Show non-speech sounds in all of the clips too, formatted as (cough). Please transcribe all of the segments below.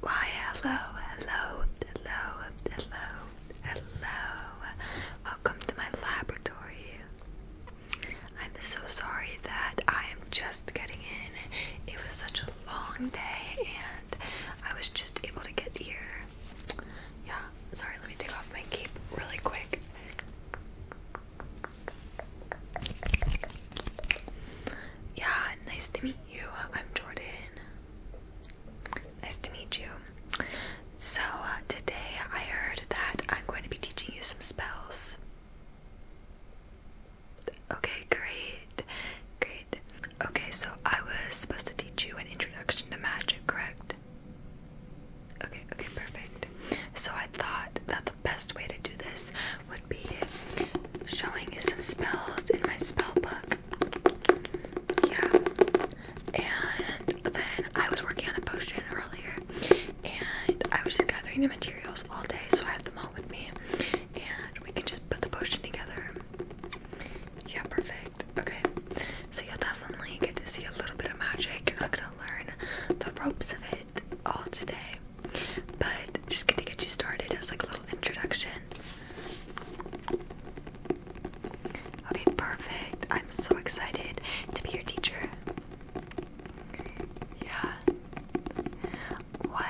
Why hello, hello, hello, hello, hello. Welcome to my laboratory. I'm so sorry that I am just getting in. It was such a long day and I was just able to get here. Yeah, sorry, let me take off my cape really quick. Yeah, nice to meet you. Uh, I'm Jordan. Nice to meet you. So, uh, today I heard that I'm going to be teaching you some spells. Okay, great. Great. Okay, so I was supposed to teach you an introduction to magic, correct? Okay, okay, perfect. So I thought that the best way to do this would be showing you some spells in my spell book. Yeah. And then I was working on a potion earlier and I was just gathering the materials all day, so I have them all with me. And we can just put the potion together. Yeah, perfect. Okay. So you'll definitely get to see a little bit of magic. You're not gonna learn the ropes of it all today but just gonna get you started as like a little introduction. Okay, perfect. I'm so excited to be your teacher. Yeah. What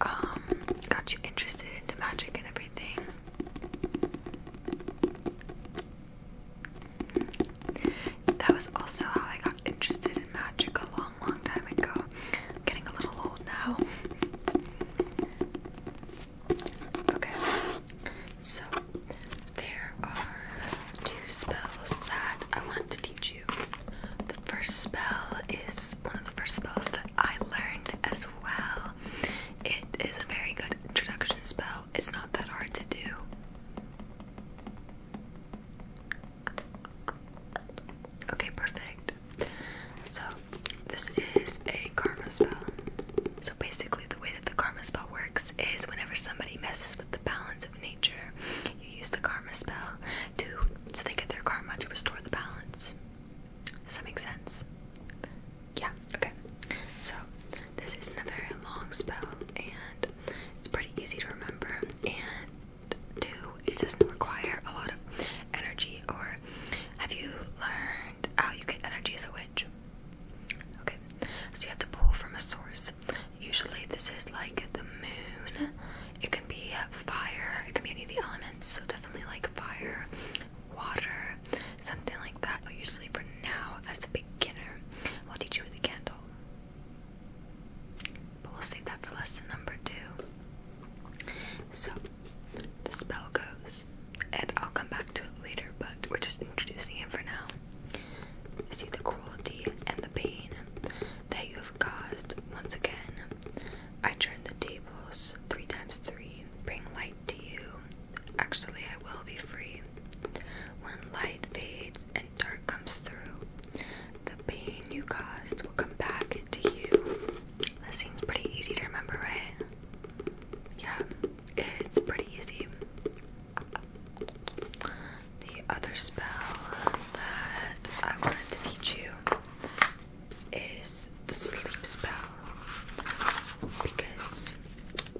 um got you interested into magic and everything? That was also how I got interested in magic a long, long time ago. getting a little old now. Okay, so there are two spells that I want to teach you. The first spell is one of the first spells that I learned as well. It is a very good introduction spell, it's not that hard to do. Okay, perfect. So, this is a karma spell. So, basically, the way that the karma spell works is whenever somebody messes with the balance of nature, you use the karma spell to so they get their karma to restore the balance. Does that make sense? Yeah, okay. So, this isn't a very long spell and it's pretty easy to remember and do. It doesn't require a lot of energy. Or have you learned how you get energy as a witch? Okay, so you have to pull from a source. Usually, this is like the moon. It can be fire. It can be any of the elements. So definitely like fire, water, something like that. But usually, for now, as a beginner, we'll teach you with a candle. But we'll save that for lesson number two. So, the spell goes, and I'll come back to it later, but we're just introducing it for now. See the cruelty and the pain that you have caused once again. I turn the tables three times three, bring light to you. Actually, I will be free. When light fades dark comes through, the pain you caused will come back to you. That seems pretty easy to remember, right? Yeah, it's pretty easy. The other spell that I wanted to teach you is the sleep spell because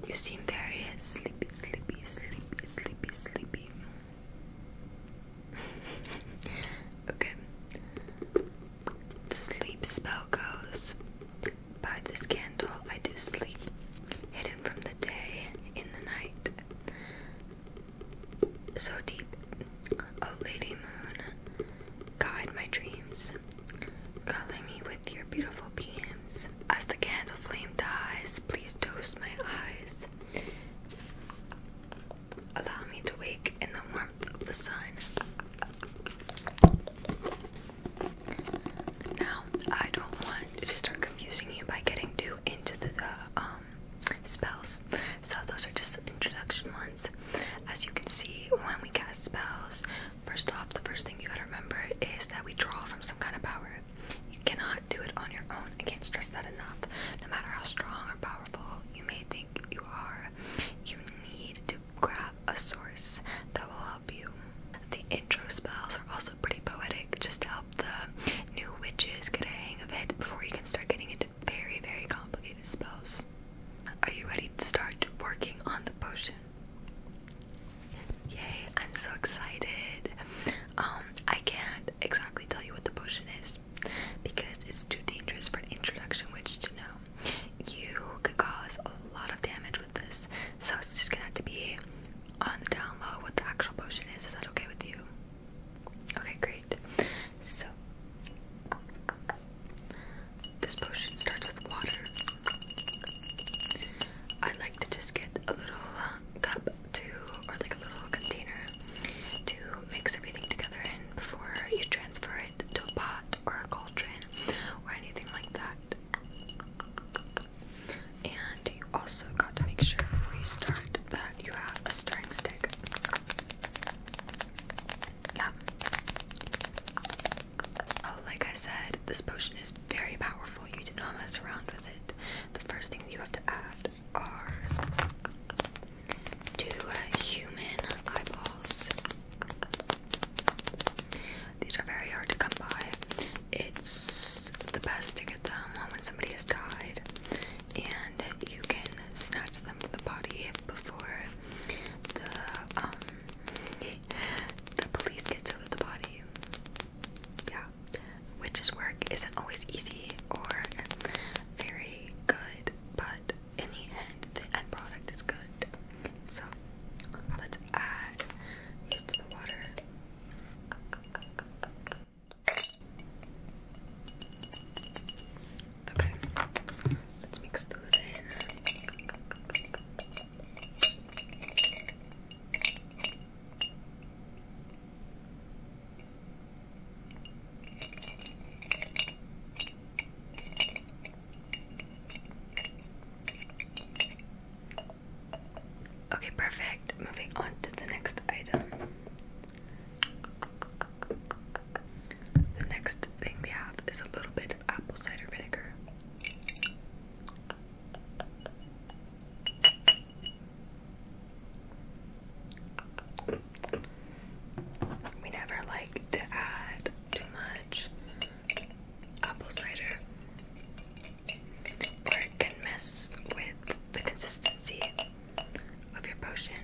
you seem very sleepy, sleepy, sleepy, sleepy, sleepy. (laughs) okay. The sleep spell goes. By this candle, I do sleep, hidden from the day in the night. So deep, O Lady Moon, guide my dreams. Color me with your beautiful beams. As the candle flame dies, please toast my eyes. Allow me to wake in the warmth of the sun. Now, I don't want to start confusing you by getting too into the, um, spells, so those are just introduction ones. As you can see, when we cast spells, first off, the first thing you gotta remember is that we draw from some kind of power. You cannot do it on your own. I can't stress that enough. No matter how strong or powerful you may think you are, you need to grab a source that will help you. The intro spells are also pretty poetic, just to help the new witches get a hang of it before you can start getting into very, very complicated spells. Are you ready to start working on the potion? Yay, I'm so excited. Um, I can't exactly tell you what the potion is because it's too dangerous for an introduction witch to know. You could cause a lot of damage with this, so it's just gonna have to be on the down low what the actual potion is. Is that okay with you? Okay, great. So, this potion starts with water. I like to just get a little uh, cup to, or like a little container to mix everything together in before you transfer it to a pot or a cauldron or anything like that. And you also got to make sure before you start that you have a stirring stick. Oh, like I said, this potion is very powerful. You do not mess around with it. The first thing you have to add are two uh, human eyeballs. These are very hard to come by. It's the best to get them when somebody has died, and you can snatch them from the body before the um, (laughs) police get to the body yeah, witches' work isn't always easy or very good, but in the end, the end product is good. So let's add these to the water. Okay, let's mix those in. Okay, perfect. Moving on to the next item. The next thing we have is a little bit apple cider vinegar. We never like to add too much apple cider, or it can mess with the consistency of your potion.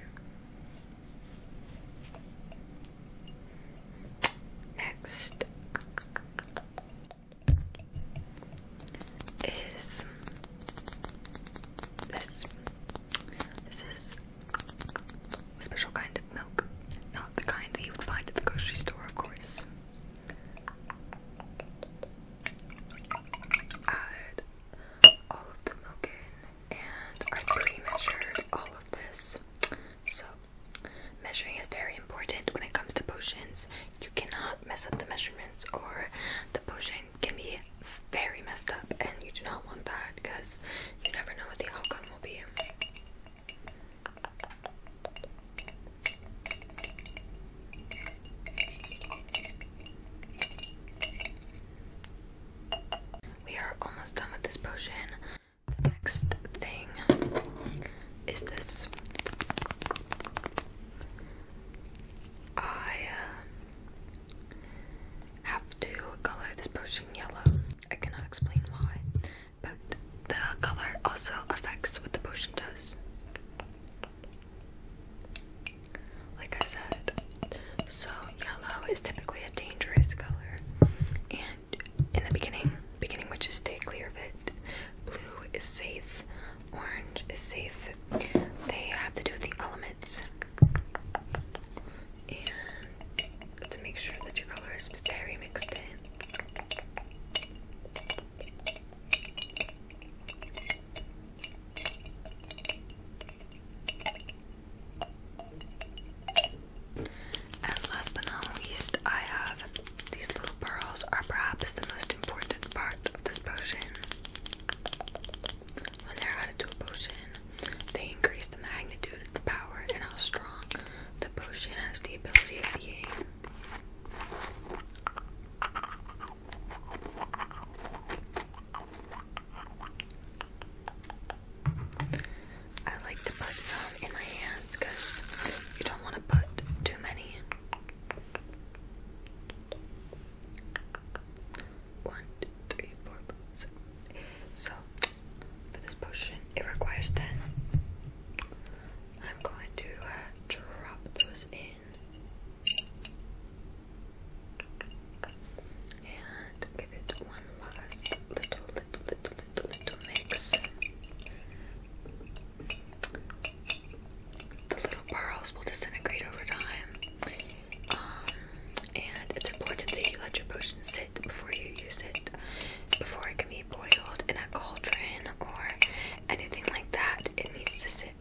Next is this. This is a special kind of milk, not the kind that you would find at the grocery store, of course. Add all of the milk in, and I pre-measured all of this, so measuring is very important when it comes to potions. You cannot mess up the measurements, or the potion can be very messed up, and you do not want that because you never know what the outcome will be. We are almost done with this potion. The next thing is this. I uh, have to color this potion yellow. I cannot explain why, but the color also affects what the potion does. Like I said, so yellow is typically a dangerous color, and in the beginning, beginning which is to clear of it. Blue is safe, orange is safe. They have to do with the elements and to make sure that your color is very mixed in. And last but not least, I have these little pearls are perhaps the most important part of this potion. When they're added to a potion, they increase the magnitude, of the power, and how strong the potion has the ability of being. I like to put some in my hands because you don't want to put too many. One, two, three, four, five, six. So, for this potion, it requires 10. I'm going to uh, drop those in and give it one last little, little, little, little, little mix. The little pearls will disintegrate over time, um, and it's important that you let your potion sit before you use it, before it can be boiled in a cauldron or anything like that. It needs to sit.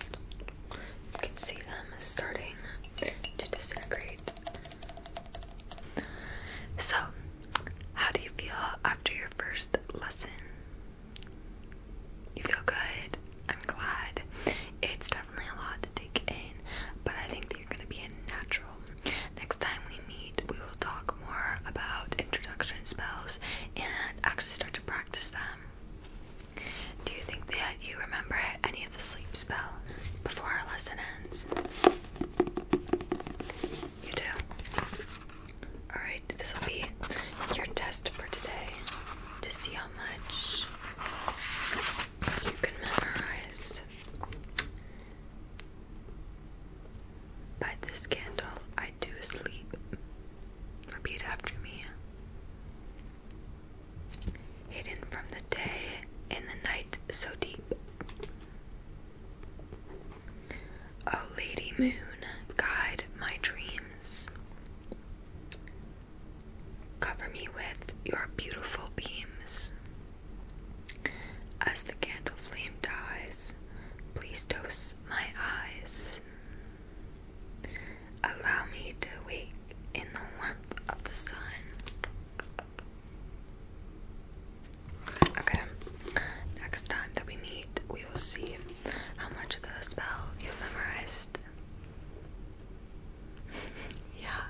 You can see them starting to disintegrate. So, how do you feel after your first lesson? You feel good? I'm glad. It's definitely a lot to take in, but I think you're gonna be a natural. Next time we meet, we will talk more about introduction spells and actually start to practice them. Do you think that you remember any of the sleep spell before our lesson ends? You do. Alright, this will be your test for today to see how much you can memorize. By this candle I do sleep. Repeat after me. Hidden from the day in the night so deep. O Lady Moon, guide my dreams. Cover me with your beautiful beams. As the candle flame dies, please dose my eyes. Allow me to wake in the warmth of the sun. Okay, next time that we meet, we will see how much of the spell you memorized. (laughs) yeah,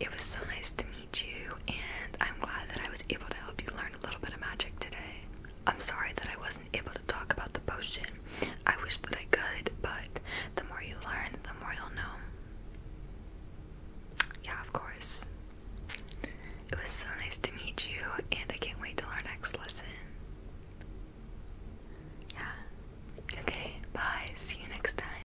it was so nice to meet you, and I'm glad that I was able to help you learn a little bit of magic today. I'm sorry that I wasn't able to talk about the potion. I wish that I could, but the more you learn, the more you'll know. Yeah, of course. It was so nice to meet you, and I can't wait till our next lesson. Yeah. Okay, bye. See you next time.